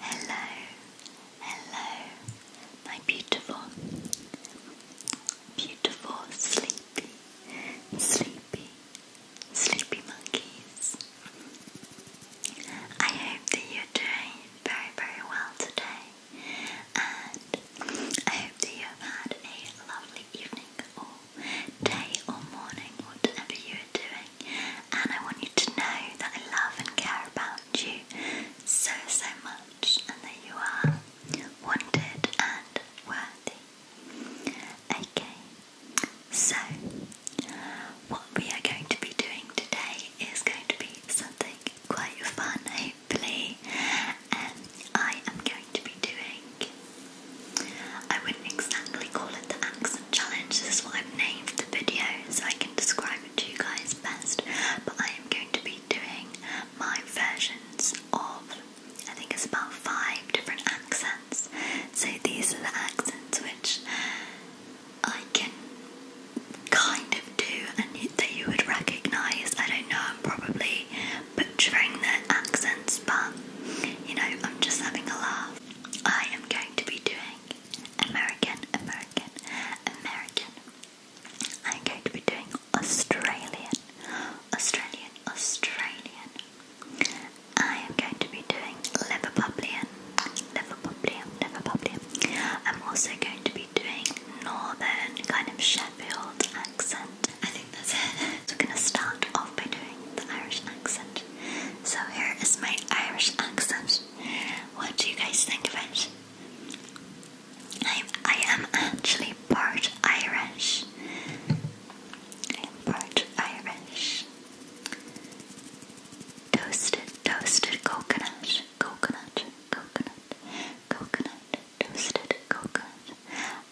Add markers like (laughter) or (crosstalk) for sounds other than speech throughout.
Hello, hello, my beautiful, beautiful, sleepy, sleepy, sleepy monkeys. I hope that you're doing very, very well today, and I hope that you've had a lovely evening day or morning, whatever you are doing, and I want you to know that I love and care about you so, so much, and that you are wanted and worthy. Okay, so what we are going to be doing today is going to be something quite fun, hopefully. and um, I am going to be doing I wouldn't exactly call it the accent challenge, this is what I've named the video so I can describe it to you guys best, but I am going to be doing my versions of, I think it's about five different accents. So these are the accents which I can kind of do and that you would recognise. I don't know, I'm probably butchering their accents, but you know, I'm just having a laugh. I am going to be doing American, American, American. I'm going to be doing Australian, Australian, Australian. I am going to be doing Liverpudlian, Liverpudlian, Liverpudlian. I'm also going to be doing Northern, kind of Sheffield accent. I think that's it. So we're going to start off by doing the Irish accent. So here is my Irish accent. What do you guys think of it? I'm, I am actually part Irish. part Irish. Toasted, toasted coconut, coconut, coconut, coconut, toasted coconut.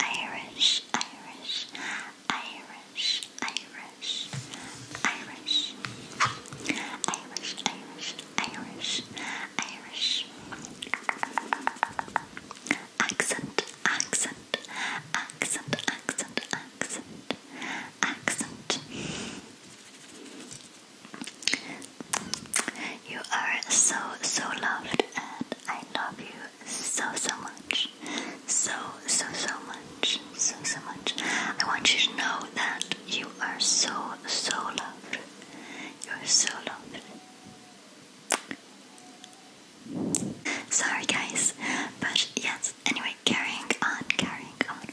Irish, Irish. Irish, Irish, Irish, Irish, Irish, Irish, Irish. Accent, accent, accent, accent, accent, accent. You are so, so loved, and I love you so, so much. So, so, so much. So, so much. I want you to know that you are so, so loved. You are so loved. Sorry, guys. But yes, anyway, carrying on, carrying on.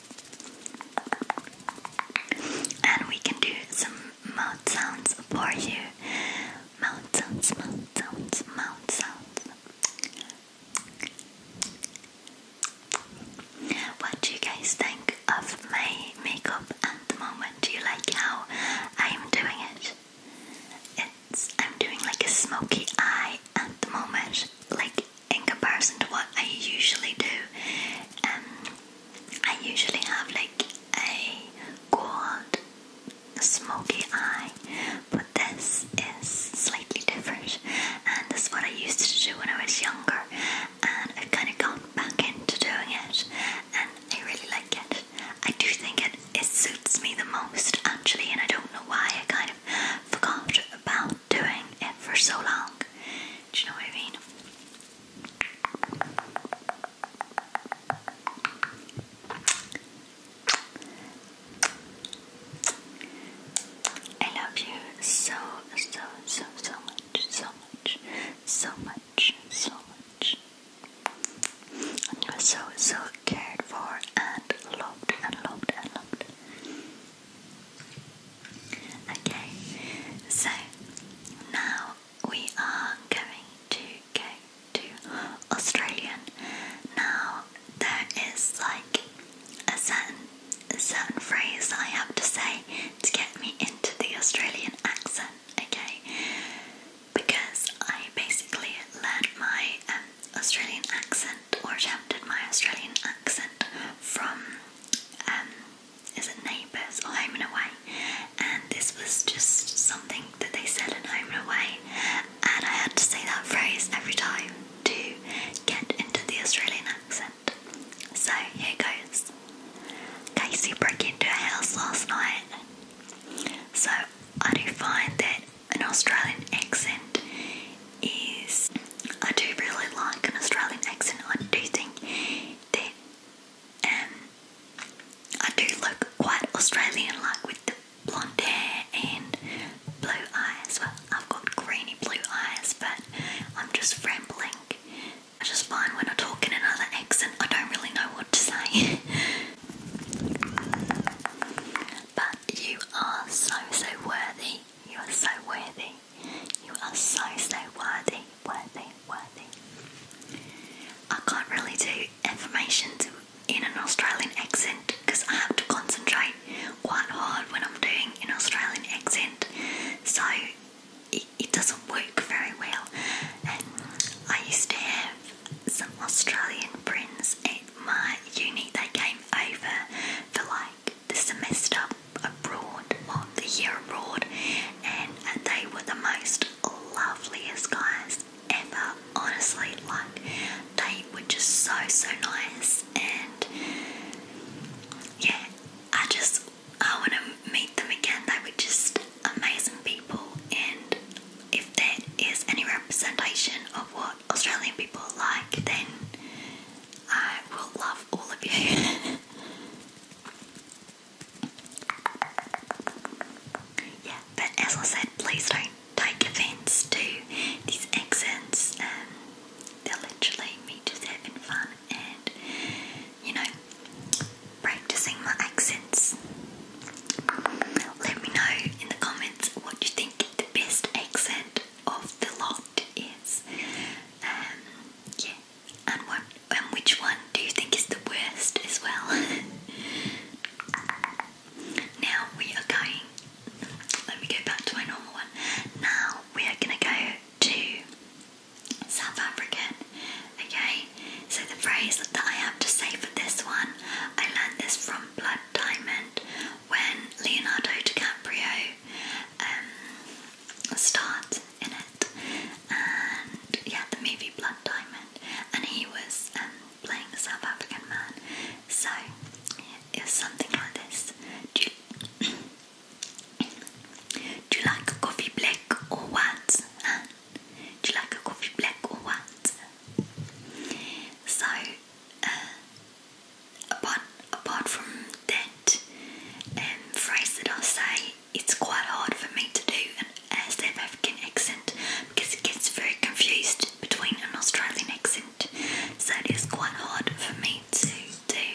And we can do some mouth sounds for you mouth sounds, mouth What do you guys think of my makeup at the moment? Do you like how I'm doing it? It's I'm doing like a smoky eye at the moment, like in comparison to what I usually do. Um, I usually have like a gold smoky eye, but this is slightly different, and this is what I used to do when I was younger, and I've kind of gone back into doing it, and I really like it. I do think it, it suits me the most actually, and I don't know why I kind of forgot about doing it for so long. Do you know what I mean? I love you so, so, so, so much, so much, so much, so much. And you are so, so cared for and loved and loved and loved. Okay, so now we are going to go to Australian. Now there is like a certain certain phrase I have to say to get me into the Australian accent, okay? Because I basically learned my um, Australian accent or attempted my Australian accent from um is it neighbours or home and away and this was just something that they said in home and away and I had to say that phrase every time to get into the Australian accent. So here goes. Casey broke into a house last night. So I do find that an Australian accent is. I do really like an Australian accent. I do think that um, I do look quite Australian, like with the blonde hair and blue eyes. Well, I've got greeny blue eyes, but I'm just rambling. I just find when I talk in another accent, I don't really know what to say. (laughs) but you are so, so worthy. You are so worthy. You are so, so worthy, worthy, worthy. I can't really do affirmations in an Australian accent because I have to concentrate quite hard when I'm doing an Australian accent, so it, doesn't work very well. And I used to have some Australian friends at my uni, they came over for like the semester abroad or the year abroad, and they were the most loveliest guys ever, honestly. Like, they were just so, so nice, and yeah, I just I want to meet them again. They were just amazing people, and if that is any representation of what Australian people like, then I will love all of you. (laughs) Yeah, but as I said, please don't take offense to these accents. Um, they're literally me just having fun and, you know, practicing my accents. Let me know in the comments what you think the best accent of the lot is. Um, yeah, and what, and which one do you think is the worst as well? (laughs) Now we are going. Let me go back to my normal one. Now we are going to go to South African. Okay, so the phrase that I have to say for this one, I learned this from Blood Diamond when Leonardo DiCaprio um, starred in it, and yeah, the movie Blood Diamond and he was um, playing the South African man. So it something like this: (coughs) Do you, like a coffee black or what? Do you like a coffee black or what? So uh, apart apart from that um, phrase that i say. It's quite hard for me to do an South African accent because it gets very confused between an Australian accent. So it is quite hard for me to do.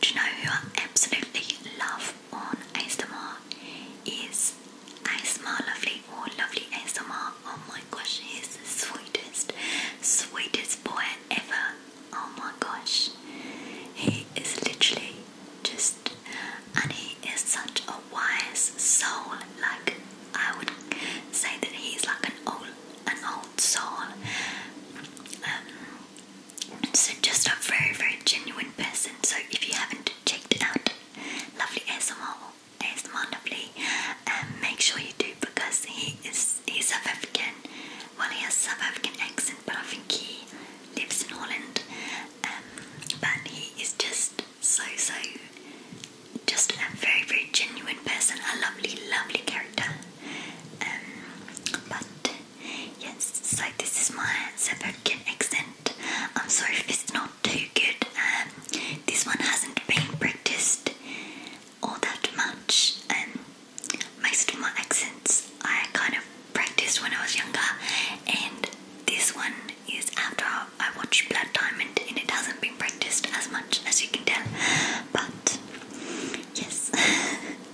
Do you know who I absolutely love on ASMR? Is ASMR Lovely or Lovely ASMR? Oh my gosh, he the sweetest, sweetest boy ever. Oh my gosh, he is literally just and he is such a wise soul like I would say that he's like an old an old soul um, so just a very very genuine person so if you haven't checked it out lovely ASMR ASMR lovely um, make sure you do because he is he's a African well he has South African accent but I think he lives in Holland, um, but he is just so so just a very very genuine person, a lovely lovely character. Um, but yes, so this is my South accent. I'm sorry if it's not too good. Um, this one hasn't been practiced all that much, um, most of my accents I kind of practiced when I was younger, and this one is after I watched Blood Diamond, and it hasn't been practiced as much as you can tell. But yes, (laughs)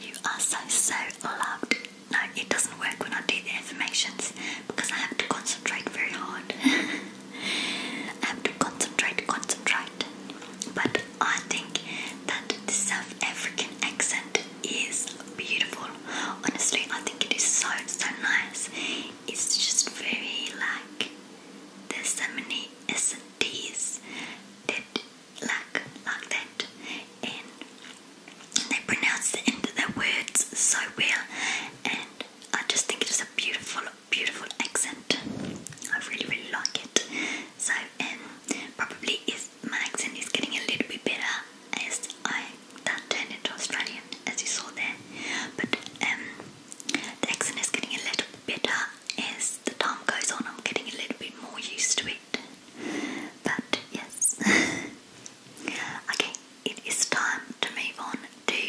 you are so so loved. No, it doesn't work when I do the affirmations because I have to concentrate very hard. (laughs) I have to concentrate, concentrate. But I think that the South African accent and beautiful. Honestly, I think it is so so nice. It's just very like there's so many S and D's that like like that, and they pronounce the end of their words so well. And I just think it is a beautiful, beautiful accent. I really really like it. So and um, probably is my accent is getting a little bit better as I that turned into Australian as you saw there. But um the accent is getting a little bit better as the time goes on, I'm getting a little bit more used to it. But yes. (laughs) okay, it is time to move on to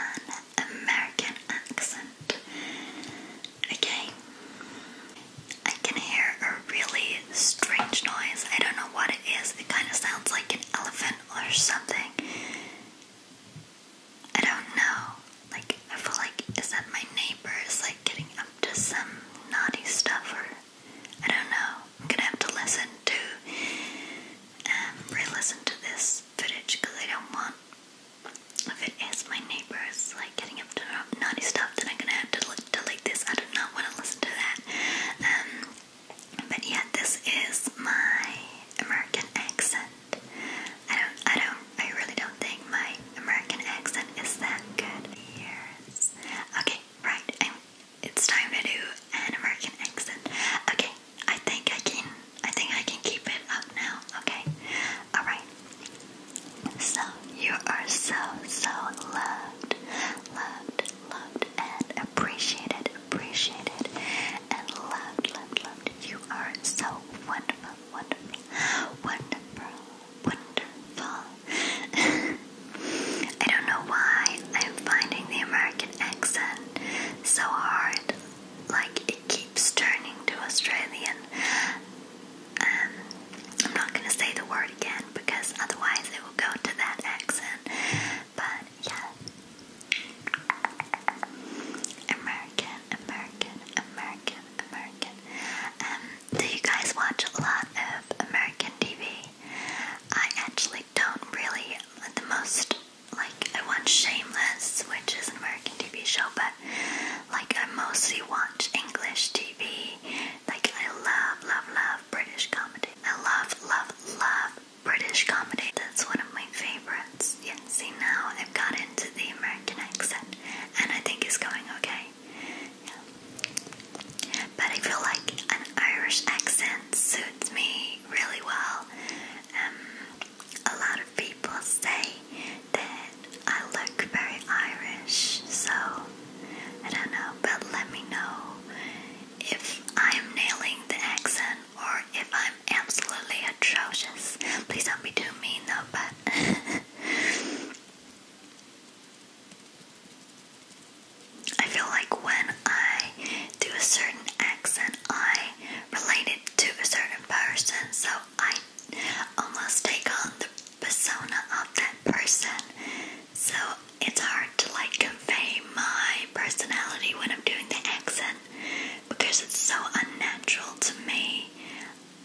an American accent. Okay. I can hear a really strange noise. I don't know what it is. It kind of sounds like an elephant or something. I don't know. Like, I feel like, is that my neighbor is like getting up to some naughty stuff or I don't know. I'm gonna have to listen to, um, re-listen to this footage because I don't want if it is my neighbors like getting up to naughty stuff, then I'm gonna have to delete this. I do not want to listen to that. Um, but yeah, this is my American accent. I don't, I don't, I really don't think my American accent is that good. Years. Okay, right. it's time to do an American accent. Okay, I think I can. I think I can keep it up now. Okay. All right. So you are so, so loved, loved, loved, and appreciated, appreciated, and loved, loved, loved. You are so wonderful, wonderful, wonderful, wonderful. (laughs) I don't know why I'm finding the American accent so hard. Like it keeps turning to Australian. Um, I'm not going to say the word again because otherwise it will go to that accent. But yeah. American, American, American, American. Um, do you guys watch a lot of American TV? I actually don't really. The most, like, I watch Shameless, which is an American TV show, but like I mostly watch English TV. Like I love, love, love British comedy. I love, love, love British comedy. That's one of my favorites. Yeah, see now I've got into the American accent and I think it's going okay. But I feel like an Irish accent suits me really well. Um, a lot of people say that I look very Irish, so I don't know, but let me know if I'm nailing the accent or if I'm absolutely atrocious. Please don't be too mean though, but. (laughs) I feel like when I do a certain accent, I relate it to a certain person, so I almost take on the persona of that person. So it's hard to like convey my personality when I'm doing the accent because it's so unnatural to me.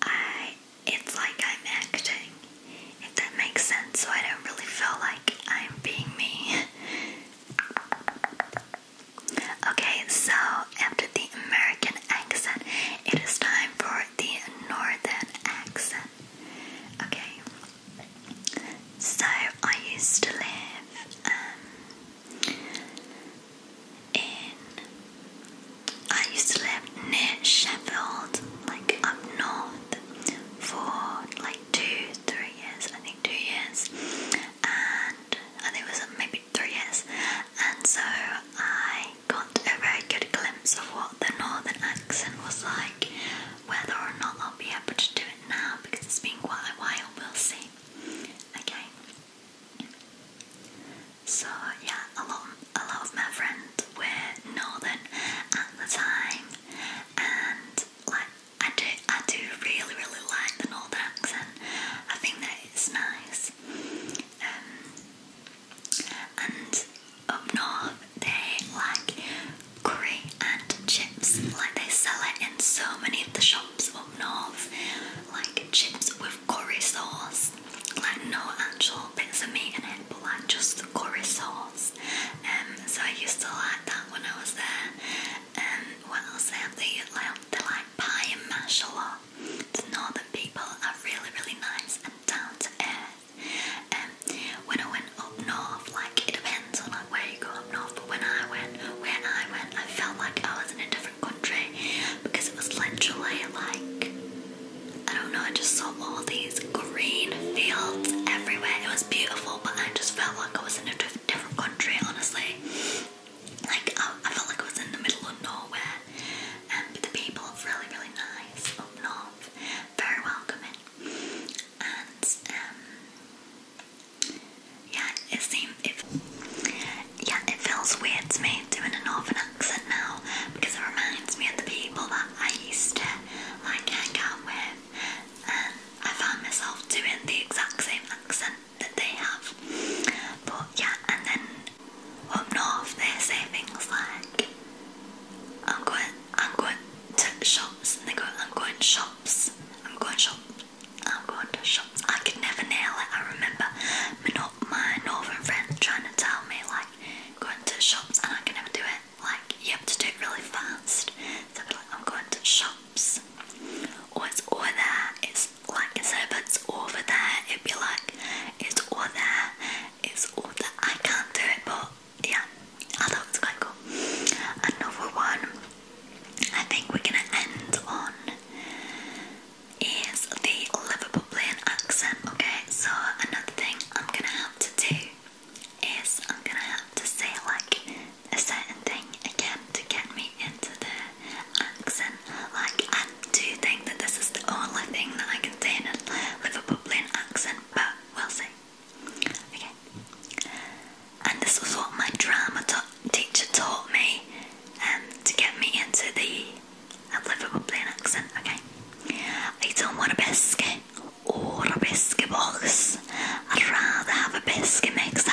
I it's like I'm acting. If that makes sense, so I don't really feel like I'm being me. (laughs) okay, so after the American accent, it is time for the northern accent. Okay, so I used to live um, in. I used to live near Sheffield, like up north, for like two, three years. I think two years, and I think it was maybe Three years, and so I got a very good glimpse of what the northern accent was like. Whether or not I'll be able to do it now because it's been quite a while, we'll see. Okay. So yeah, a lot, a lot of my friends were northern at the time, and like I do, I do really, really like the northern accent. I think that it's nice. Um, and up north, they like curry and chips. Like they sell it in so many of the shops up north, like chips with curry sauce. Like no actual bits of meat in it, but like just the curry sauce. Um, so I used to like that when I was there. Um, when I was there, They, they like by mashallah. The northern people are really, really nice and down to earth. Um, when I went up north, like it depends on like where you go up north, but when I went, where I went, I felt like I was in a different country because it was literally like I don't know, I just saw all these green fields everywhere. It was beautiful, but I just felt like I was in a different country, honestly. Like I, I felt like I was in the middle of nowhere, um, but the people are really, really nice up north, very welcoming, and um, yeah, it seems yeah, it feels weird to me doing a northern accent now because it reminds me of the people that I used to like hang out with, and I found myself doing the exact same accent that they have. But yeah, and then up north they say things like I'm going I'm going to shops and they go I'm going shops. I'm going shops. I'm going to shops. I could never nail it. I remember my northern friends trying to tell me like going to shops and I could never do it. Like you have to do it really fast. So I'd be am going to shops. Or it's over It's it's like I said, if it's over there, it'd be like it's all there, it's all there. I can't do it, but yeah, I thought it was quite cool. Another one I think we're gonna end on is the Liverpool playing accent. Okay, so another thing I'm gonna have to do is I'm gonna have to say like a certain thing again to get me into the accent. Like, I do think that this is the only thing that I can say in a Liverpoolian accent, but we'll see. Okay. And this was what my drama teacher taught me um, to get me into the uh, Liverpoolian accent, okay? I don't want a biscuit or a biscuit box. I'd rather have a biscuit mixer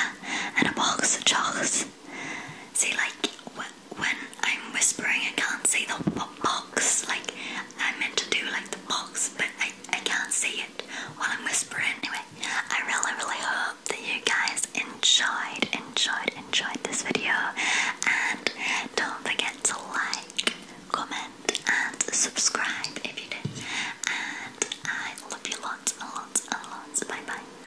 and a box of chocolates See, like when I'm whispering, I can't say the box. Like I meant to do like the box, but I I can't say it while I'm whispering. Anyway, I really really hope that you guys enjoyed enjoyed enjoyed this video, and don't forget to like, comment, and subscribe if you did. And I love you lots and lots and lots. Bye bye.